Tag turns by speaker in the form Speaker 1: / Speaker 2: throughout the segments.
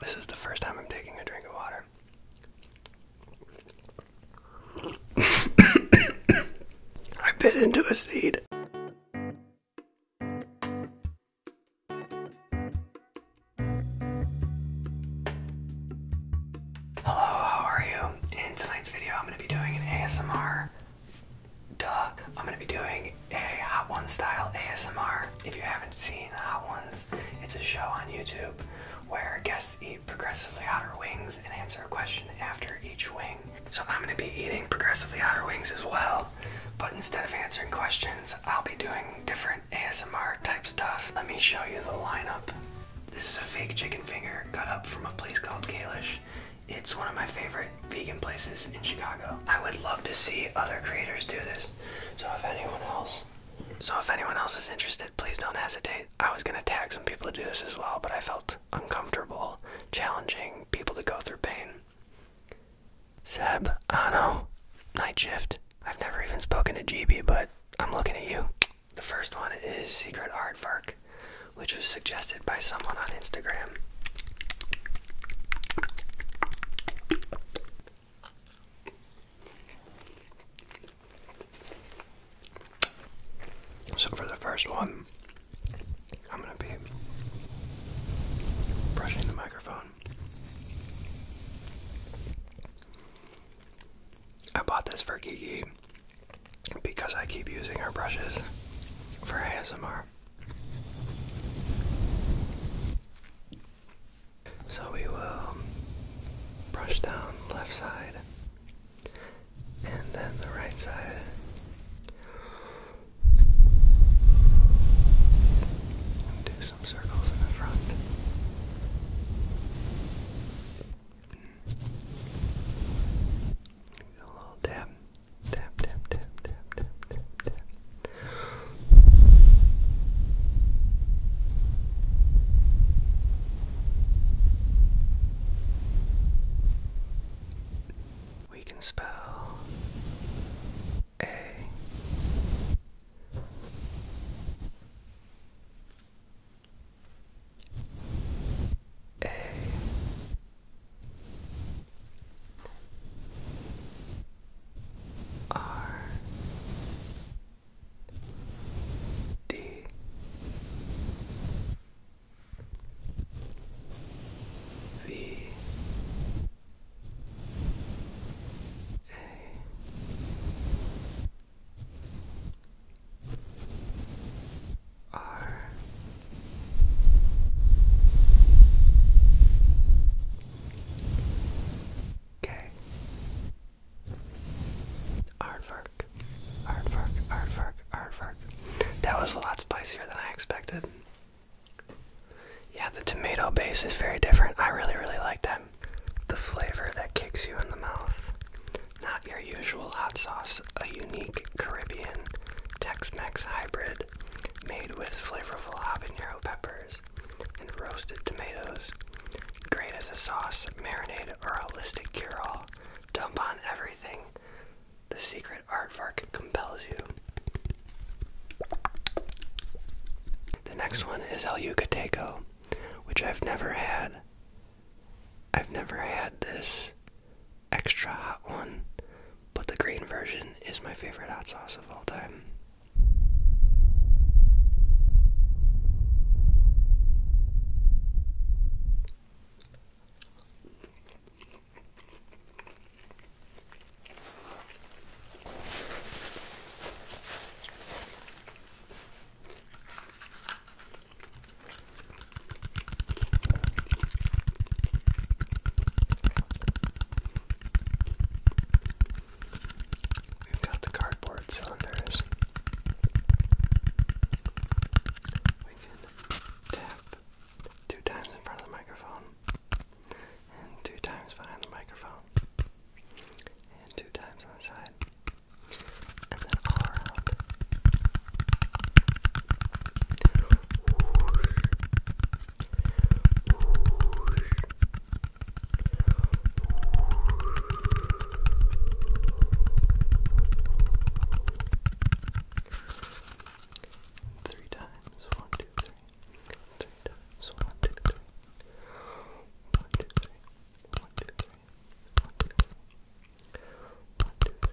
Speaker 1: This is the first time I'm taking a drink of water. I bit into a seed. Hello, how are you? In tonight's video, I'm going to be doing an ASMR. Duh, I'm going to be doing a Hot One style ASMR. If you haven't seen Hot ones. It's a show on YouTube where guests eat progressively hotter wings and answer a question after each wing. So I'm going to be eating progressively hotter wings as well, but instead of answering questions, I'll be doing different ASMR type stuff. Let me show you the lineup. This is a fake chicken finger cut up from a place called Kalish. It's one of my favorite vegan places in Chicago. I would love to see other creators do this. So if anyone else, so if anyone else is interested, please don't hesitate. I was gonna tag some people to do this as well, but I felt uncomfortable challenging people to go through pain. Seb, Ano, Night Shift. I've never even spoken to GB, but I'm looking at you. The first one is Secret art work, which was suggested by someone on Instagram. So, for the first one, I'm going to be brushing the microphone. I bought this for Gigi because I keep using her brushes for ASMR. So we will brush down the left side and then the right side. do some circles in the front. Do a little dab, dab, dab, dab, dab, dab, dab, dab. We can spell A A R D V A R Okay. Aardvark. Aardvark, aardvark, aardvark. That was a lot spicier than I expected. Yeah, the tomato base is very different. I really, really like that. The flavor that kicks you in the mouth. Not your usual hot sauce, a unique Caribbean Tex Mex hybrid made with flavorful habanero peppers and roasted tomatoes. Great as a sauce, marinade, or a holistic cure all. Dump on everything. The secret art aardvark compels you. The next one is El Yucateco, which I've never had. I've never had this extra hot one, but the green version is my favorite hot sauce of all time. We've got the cardboard cylinders. We can tap two times in front of the microphone, and two times behind the microphone, and two times on the side, and then all around. Three times, one, two, three. Three times, one, two, three. One, two, three. One, two, three. One, two, three. One, two, three. One, two, three.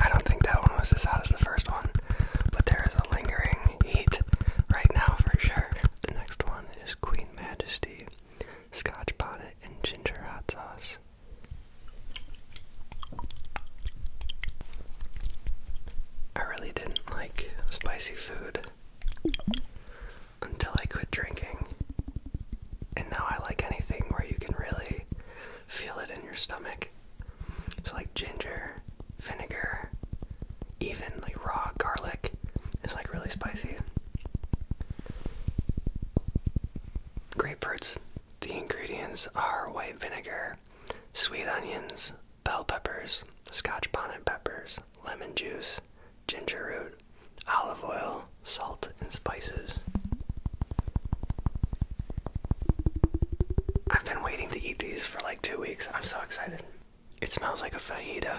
Speaker 1: I don't think that one was as hot as the first one, but there is a lingering heat right now for sure. The next one is Queen Majesty Scotch Bonnet and Ginger Hot Sauce. I really didn't like spicy food until I quit drinking. And now I like anything where you can really feel it in your stomach. So, like ginger, vinegar, even like raw garlic is like really spicy. Grapefruits. The ingredients are white vinegar, sweet onions, bell peppers, scotch bonnet peppers, lemon juice, ginger root, olive oil, salt, and spices. I've been waiting to eat these for like two weeks. I'm so excited. It smells like a fajita.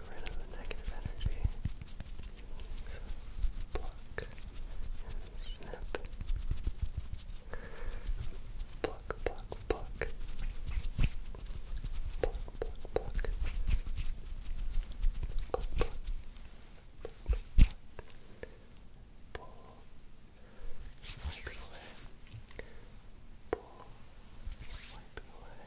Speaker 1: rid of the negative energy. So pluck and snip. Pluck, pluck, pluck. Pluck, pluck, pluck. Pluck, Pull, wipe away. Pull, wipe away.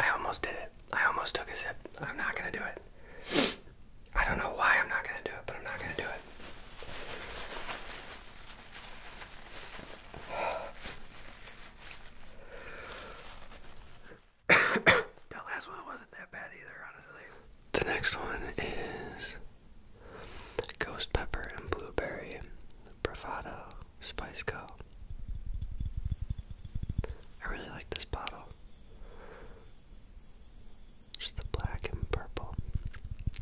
Speaker 1: I almost did it. I almost took a sip. I'm not going to do it. I don't know why I'm not going to do it, but I'm not going to do it. The next one is Ghost Pepper and Blueberry Bravado Spice Co. I really like this bottle. Just the black and purple.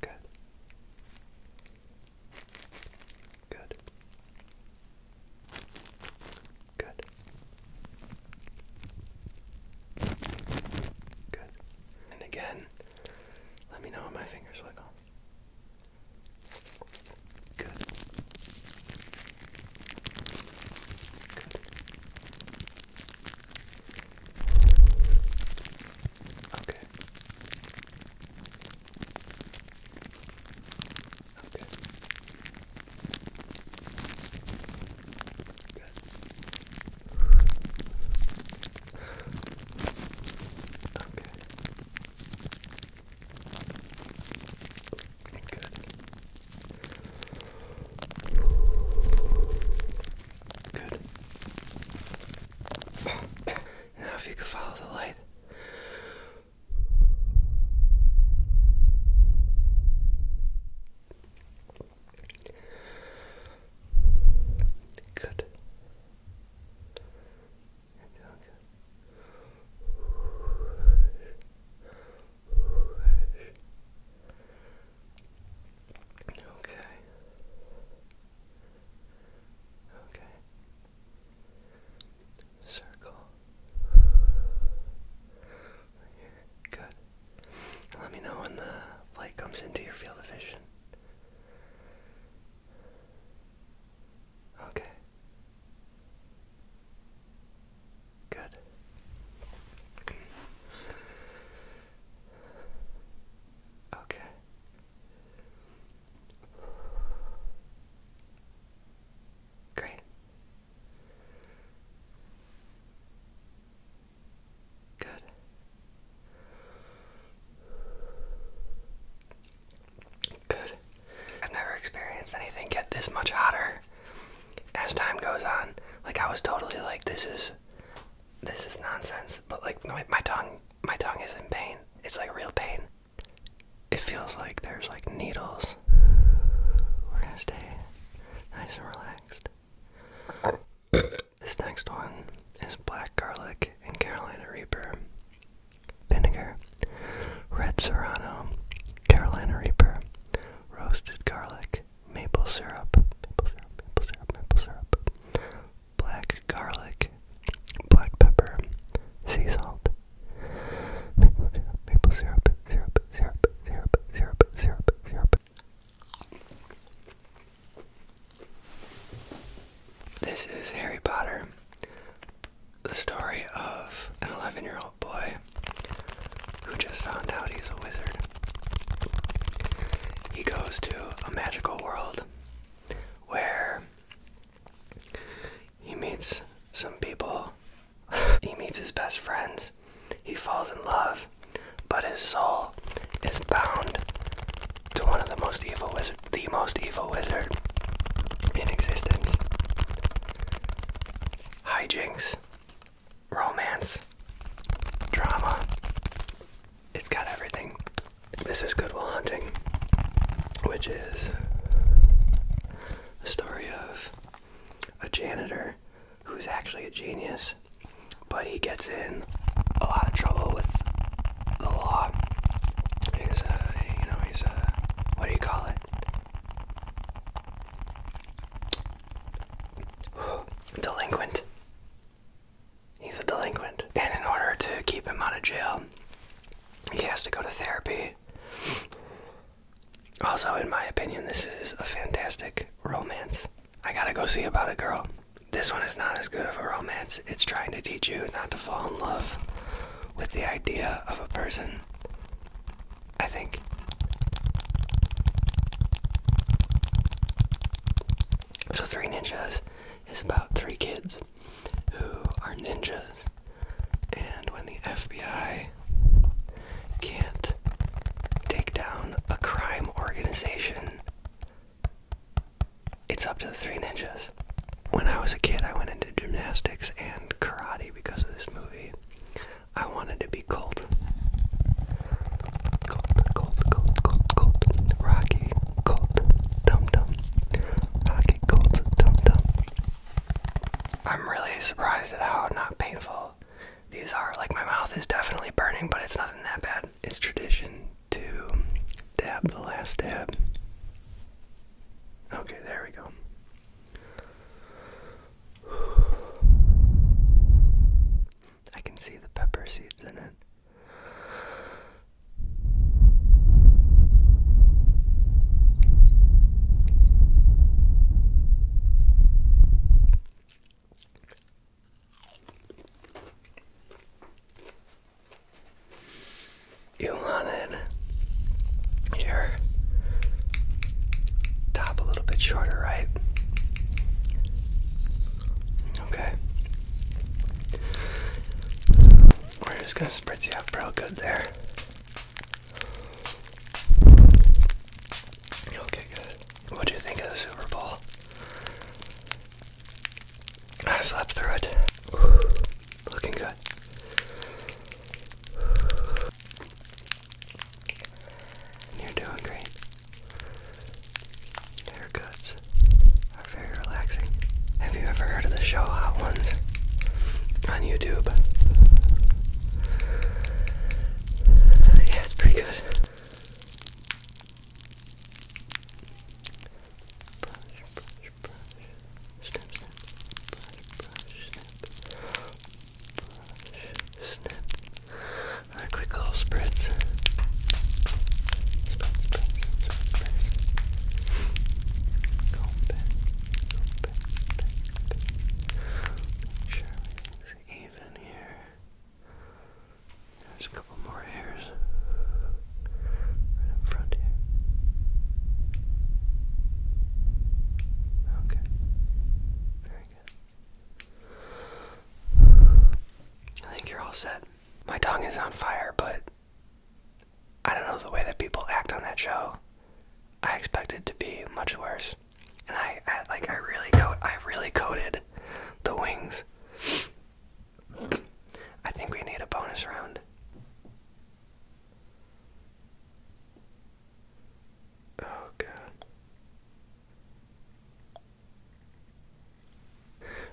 Speaker 1: Good. Good. Good. Good. And again, let me know when my fingers wiggle. Good. Good. Okay. Okay. Good. Okay. Good. Good. now, if you could follow the light. Good. You're doing good. Whoosh, whoosh, Okay. Okay. Circle. Good. Let me know when the light comes into your field of vision. Okay. Good. Okay. Great. Good. Good. I've never experienced anything get this much hotter as time goes on. Like I was totally like, this is, this is nonsense. But like my, my tongue, my tongue is in pain. It's like real pain. It feels like there's like needles. We're gonna stay nice and relaxed. this next one is black garlic and Carolina Reaper. Vinegar, red serrano, Carolina Reaper, roasted garlic, maple syrup, maple syrup, maple syrup, maple syrup, black garlic, black pepper, sea salt, maple syrup, maple syrup, syrup, syrup, syrup, syrup, syrup, syrup. This is Harry Potter, the story of an 11 year old Oh, boy who just found out he's a wizard. He goes to a magical world where he meets some people, he meets his best friends, he falls in love, but his soul is bound to one of the most evil wizard, the most evil wizard in existence. Hi jinx romance, drama. It's got everything. This is Good Goodwill Hunting, which is a story of a janitor who's actually a genius, but he gets in a lot of trouble with the law. He's a, you know, he's a, what do you call it? delinquent. He's a delinquent. And in order to keep him out of jail, he has to go to therapy. Also, in my opinion, this is a fantastic romance. I gotta go see about a girl. This one is not as good of a romance. It's trying to teach you not to fall in love with the idea of a person I think. So, Three Ninjas is about three kids who are ninjas, and when the FBI can't take down a crime organization, it's up to the Three Ninjas. When I was a kid, I went into gymnastics and karate because of this movie. I wanted to be cold. Cold, cold, cold, cold, cold. Rocky, cold, dum dum. Rocky, cold, dum dum. I'm really surprised at how not painful these are. Like, my mouth is definitely burning, but it's nothing that bad. It's tradition to dab the last dab. Okay, there we go. I can see the pepper seeds in it. You want it? here. Top a little bit shorter, right? Okay. We're just gonna spritz you up real good there. Okay, good. What do you think of the Super Bowl? I slept through it. Looking good you're doing great. Haircuts are very relaxing. Have you ever heard of the show Hot Ones on YouTube? Yeah, it's pretty good snip, brush, brush, snip, brush, snip. Another quick little spritz. Make sure everything's even here. There's a couple more hairs right up front here. Okay. Very good. I think you're all set. My tongue is on fire, but I don't know the way that people act on that show. I expected to be much worse. And I, like I really coat I really coated the wings. I think we need a bonus round. Oh god.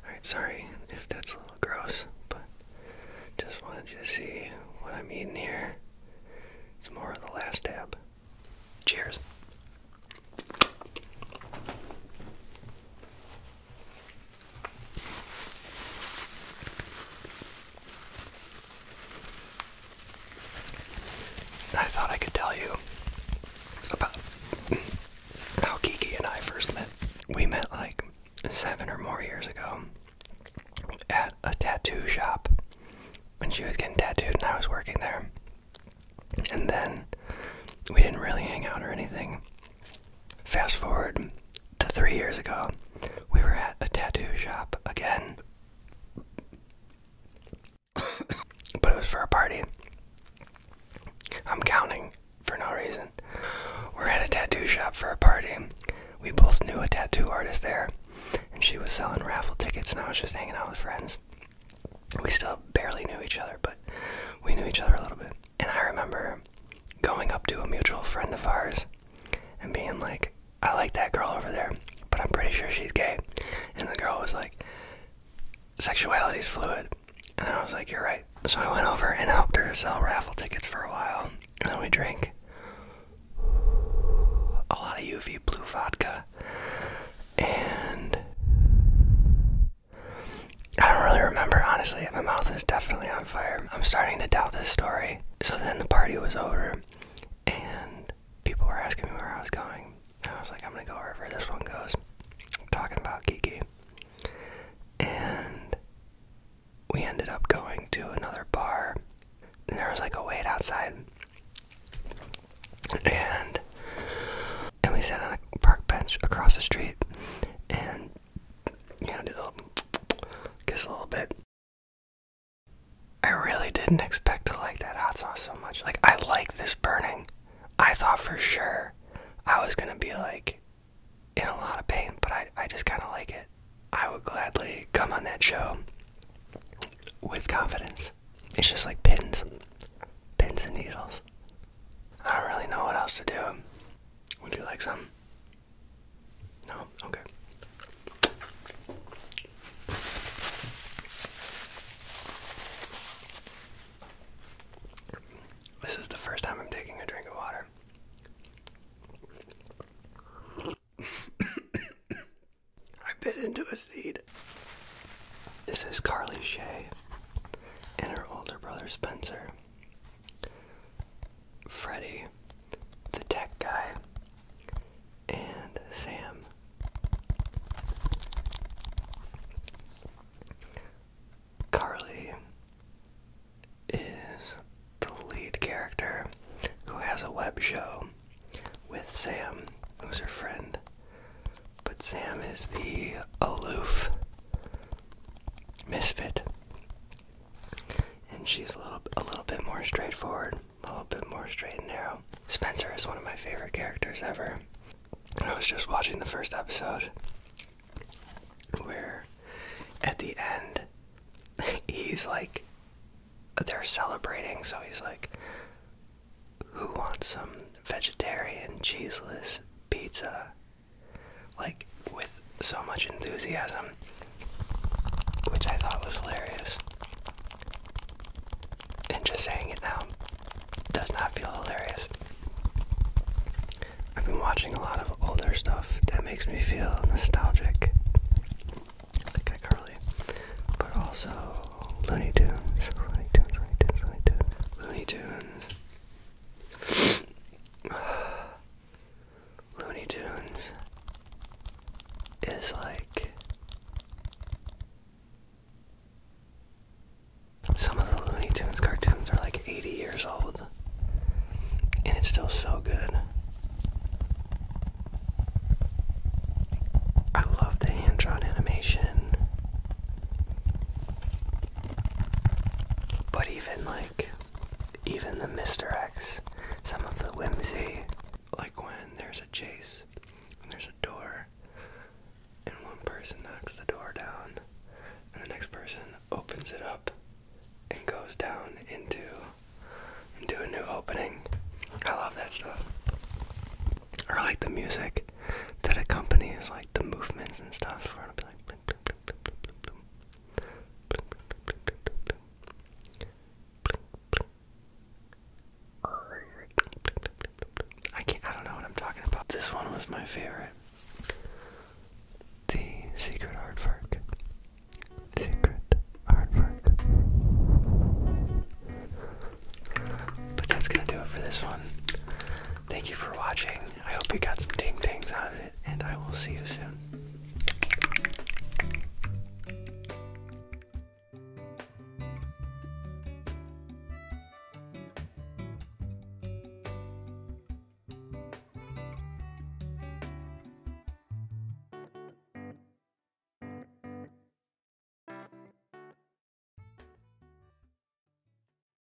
Speaker 1: Alright, sorry if that's a little gross, but just wanted you to see what I'm eating here. It's more of the last dab. Cheers. I thought I could tell you about how Kiki and I first met. We met like seven or more years ago at a tattoo shop when she was getting tattooed and I was working there. And then we didn't really hang out or anything. Fast forward to three years ago, we were at a tattoo shop again. but it was for a party. I'm counting for no reason. We're at a tattoo shop for a party. We both knew a tattoo artist there, and she was selling raffle tickets, and I was just hanging out with friends. We still barely knew each other, but we knew each other a little bit. And I remember going up to a mutual friend of ours and being like, I like that girl over there, but I'm pretty sure she's gay. And the girl was like, "Sexuality is fluid. And I was like, you're right. So I went over and helped her sell raffle tickets for a while. And then we drank a lot of UV blue vodka. And I don't really remember, honestly. My mouth is definitely I'm starting to doubt this story. So then the party was over, and people were asking me where I was going. I was like, I'm gonna go wherever this one goes. talking about Kiki. And we ended up going to another bar, and there was like a wait outside. And and we sat on a park bench across the street, and you know, do the kiss a little bit. I really didn't expect to like that hot sauce so much. Like, I like this burning. I thought for sure I was gonna be like in a lot of pain, but I, I just kind of like it. I would gladly come on that show with confidence. It's just like pins, pins and needles. I don't really know what else to do. Would you like some? No? Okay. This is the first time I'm taking a drink of water. I bit into a seed. This is Carly Shay and her older brother Spencer. Freddy, the tech guy, and Sam. Carly is the lead character who has a web show with Sam, who's her friend. But Sam is the aloof misfit and she's a little a little bit more straightforward, a little bit more straight and narrow. Spencer is one of my favorite characters ever. I was just watching the first episode where at the end he's like they're celebrating, so he's like who wants some vegetarian cheeseless pizza? like with so much enthusiasm, which I thought was hilarious. And just saying it now does not feel hilarious. I've been watching a lot of older stuff that makes me feel nostalgic, like I Carly, but also Looney Looney Tunes, Looney Tunes, Looney Tunes, Looney Tunes. Looney Tunes is like some of the Looney Tunes cartoons are like 80 years old and it's still so good. I love the hand drawn animation. But even like even the Mr. X, some of the whimsy, like when there's a chase and there's a door, and one person knocks the door down, and the next person opens it up and goes down into into a new opening. I love that stuff. Or like the music that accompanies like the movements and stuff. Where it'll be I can't, I don't know what I'm talking about. This one was my favorite. The secret artwork. Secret artwork. But that's gonna do it for this one. Thank you for watching. I hope you got some ting tings out of it, and I will see you soon.